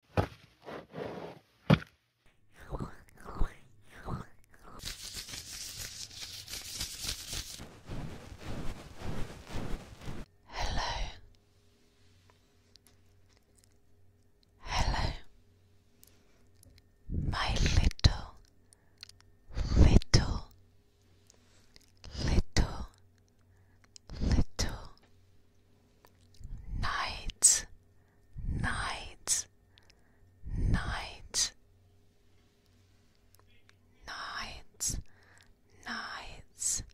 Hello. Hello. My little, little, little, little, night, night, night, night, night,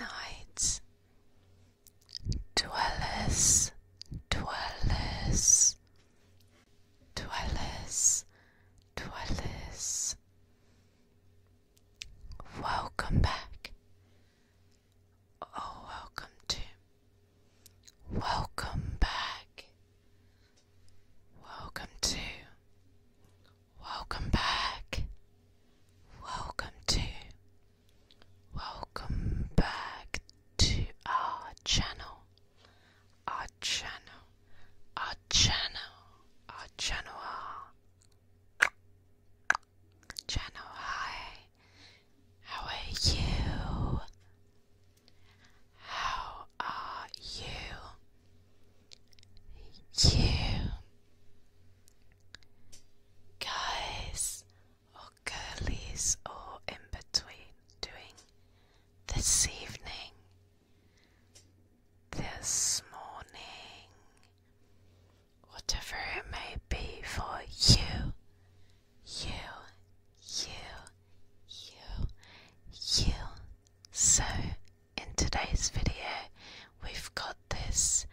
night, dwellers, dwellers, dwellers, dwellers. Welcome back. Oh, welcome to. Welcome back. Welcome to. Welcome back. Welcome to. Welcome back to our channel. Our channel. Our channel. Our channel. Channel, hi. How are you? How are you? You guys or girlies or in between doing this evening, this morning, whatever it may be for you, you, you, you, you. So, in today's video, we've got this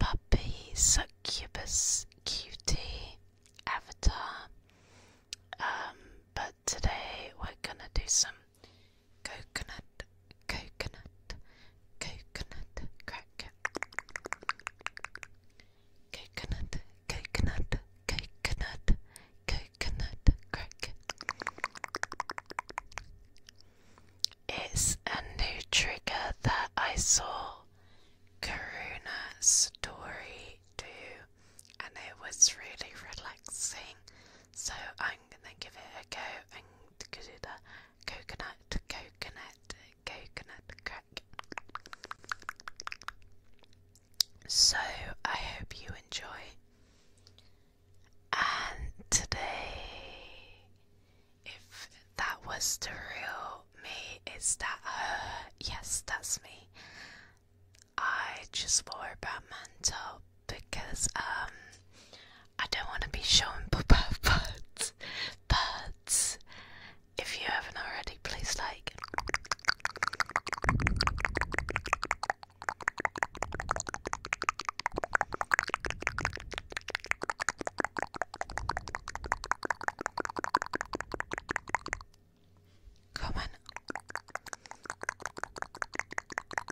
puppy succubus cutie avatar. Um, but today we're gonna do some coconut, coconut, coconut crack. Coconut, coconut, coconut, coconut crack. It's a new trigger that I saw Karuna story do, and it was really relaxing. So I'm gonna give it a go and do that coconut, coconut, coconut crack. So I hope you enjoy. And today, if that was the real me, is that her? Uh, yes, that's me. I just wore a brown mantle because um I don't want to be showing but but if you haven't already, please like. Comment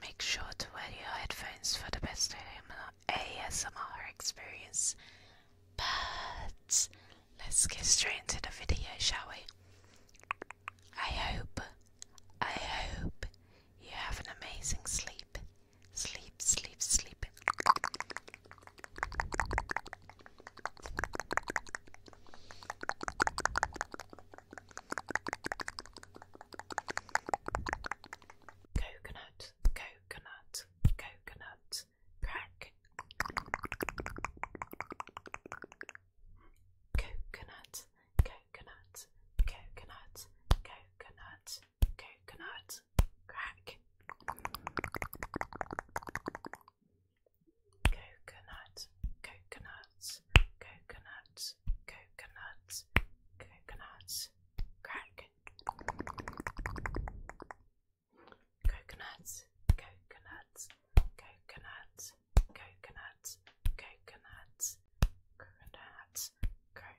Make sure to wear your headphones for the best ASMR experience. But let's get straight into the video, shall we? I hope, I hope you have an amazing sleep. Sleep, sleep, sleep. Coconut, coconut, coconut, crack. Coconut, coconut, coconut, coconut, coconut, crack coconut, coconuts, coconuts, coconuts, coconuts, crack. Coconuts, coconuts, coconuts, coconuts, coconuts, coconuts, coconuts, crack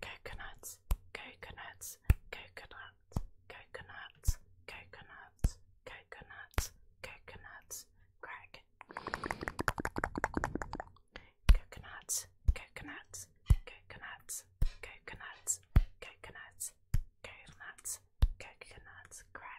Coconuts, coconuts, coconuts, coconuts, coconuts, coconuts, coconuts, crack. Coconuts, coconuts, coconuts, coconuts, coconuts, coconuts, coconuts, crack.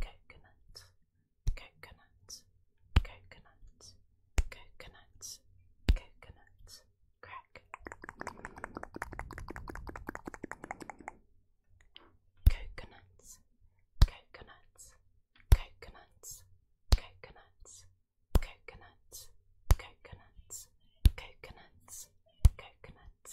coconut, coconut, coconut, coconut, coconut, crack. Coconuts, coconuts, coconuts, coconuts, coconuts, coconuts, coconuts, coconuts,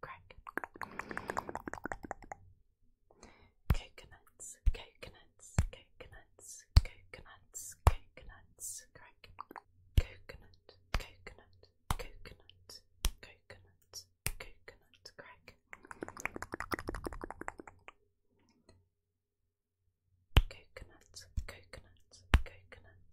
crack. Coconuts, coconuts, coconuts, coconuts, coconuts, crack. Coconut, coconut, coconut, coconut, coconut, crack. Coconut, coconut, coconut,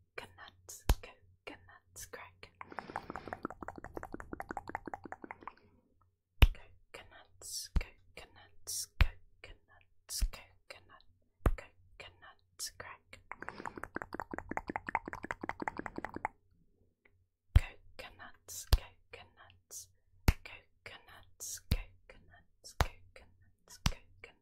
Coconuts, coconuts crack. Coconuts, coconuts, coconuts, coconut, coconuts crack. Coconuts, coconuts, coconuts, coconuts, coconuts, coconuts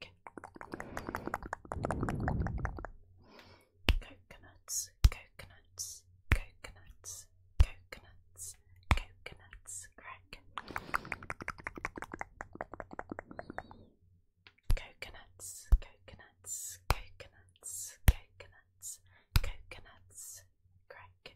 neck. Coconuts, coconuts, coconuts, coconuts, coconuts, crack. Coconuts, coconuts, coconuts, coconuts, coconuts, crack.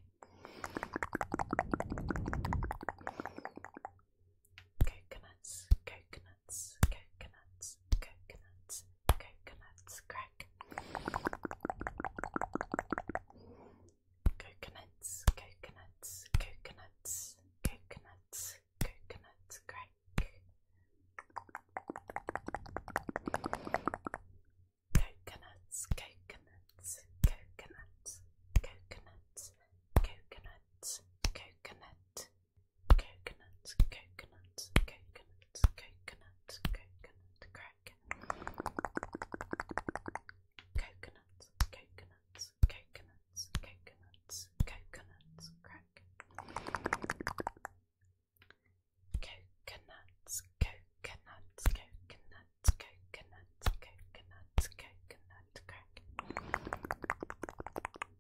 Coconuts, coconuts, coconuts, coconuts, coconuts, coconuts, crack. Coconuts, coconuts, coconuts, coconuts, coconuts, crack. Coconuts, coconuts, coconuts, coconuts, coconuts, coconut, coconuts, coconuts, coconuts, coconuts, coconut crack. Coconuts, coconuts, coconuts, coconuts, coconuts crack. Coconuts, coconuts, coconuts, coconuts, coconuts, coconut crack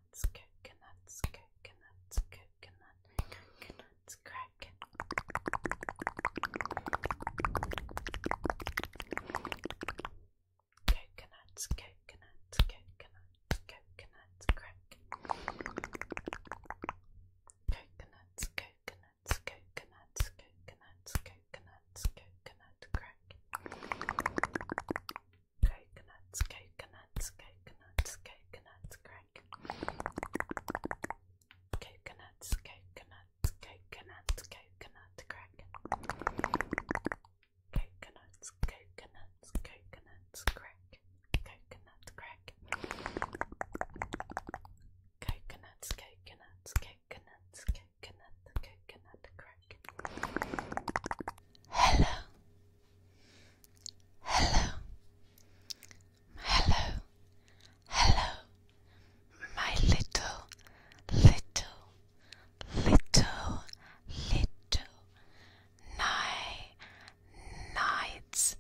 Coconuts, coconuts, coconuts, coconuts, coconuts, crack. Coconuts, coconuts, coconuts, coconuts, crack. Coconuts, coconuts, coconuts, coconuts, coconuts, coconut crack. Coconuts, coconuts, coconuts, coconuts, crack. Coconuts, coconuts, coconuts, coconut crack. Coconuts, coconuts, coconuts, crack. Coconut crack. Coconuts, coconuts, coconuts, coconut, coconut crack. Hello. Hello. Hello. Hello. My little, little, little, little night, nights,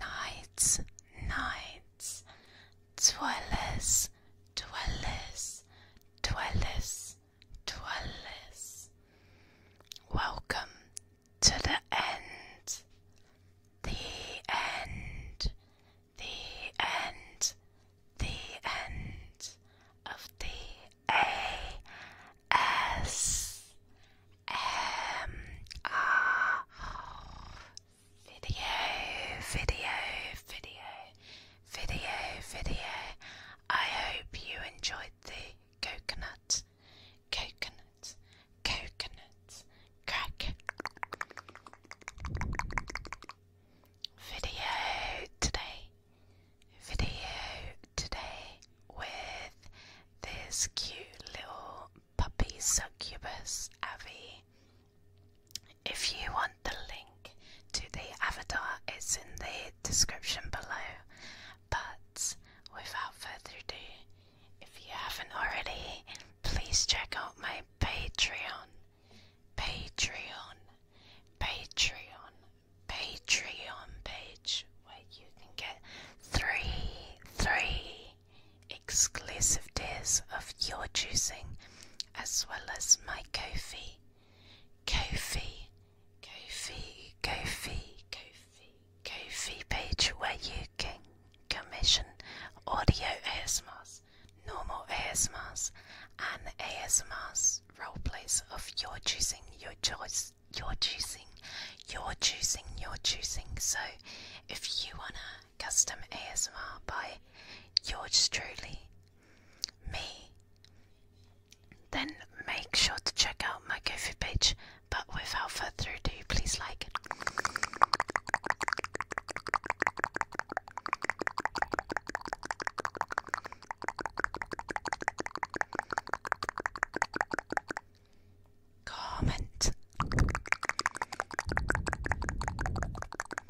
nights, nights, dwellers, dwellers, dwellers, to Welcome to the end. The end. The end. The end of the A S M R video, video, video. Video, video, I hope you enjoyed the coconut, coconut, coconut crack. Video today, video today with this cute little puppy succubus, Avi. If you want the link to the avatar, it's in the description below. But without further ado, if you haven't already, please check out my Patreon. Patreon, Patreon, Patreon page where you can get three, three exclusive tiers of your choosing, as well as my coffee. Ko-fi, Ko-fi, Ko-fi, Ko-fi, Ko-fi page where you can commission audio ASMRs, normal ASMRs, and ASMRs roleplays of your choosing, your choice, your choosing, your choosing, your choosing. So if you wanna custom ASMR by yours truly, me. Then make sure to check out my ko page. But without further ado, please like. Comment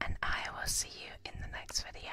And I will see you in the next video.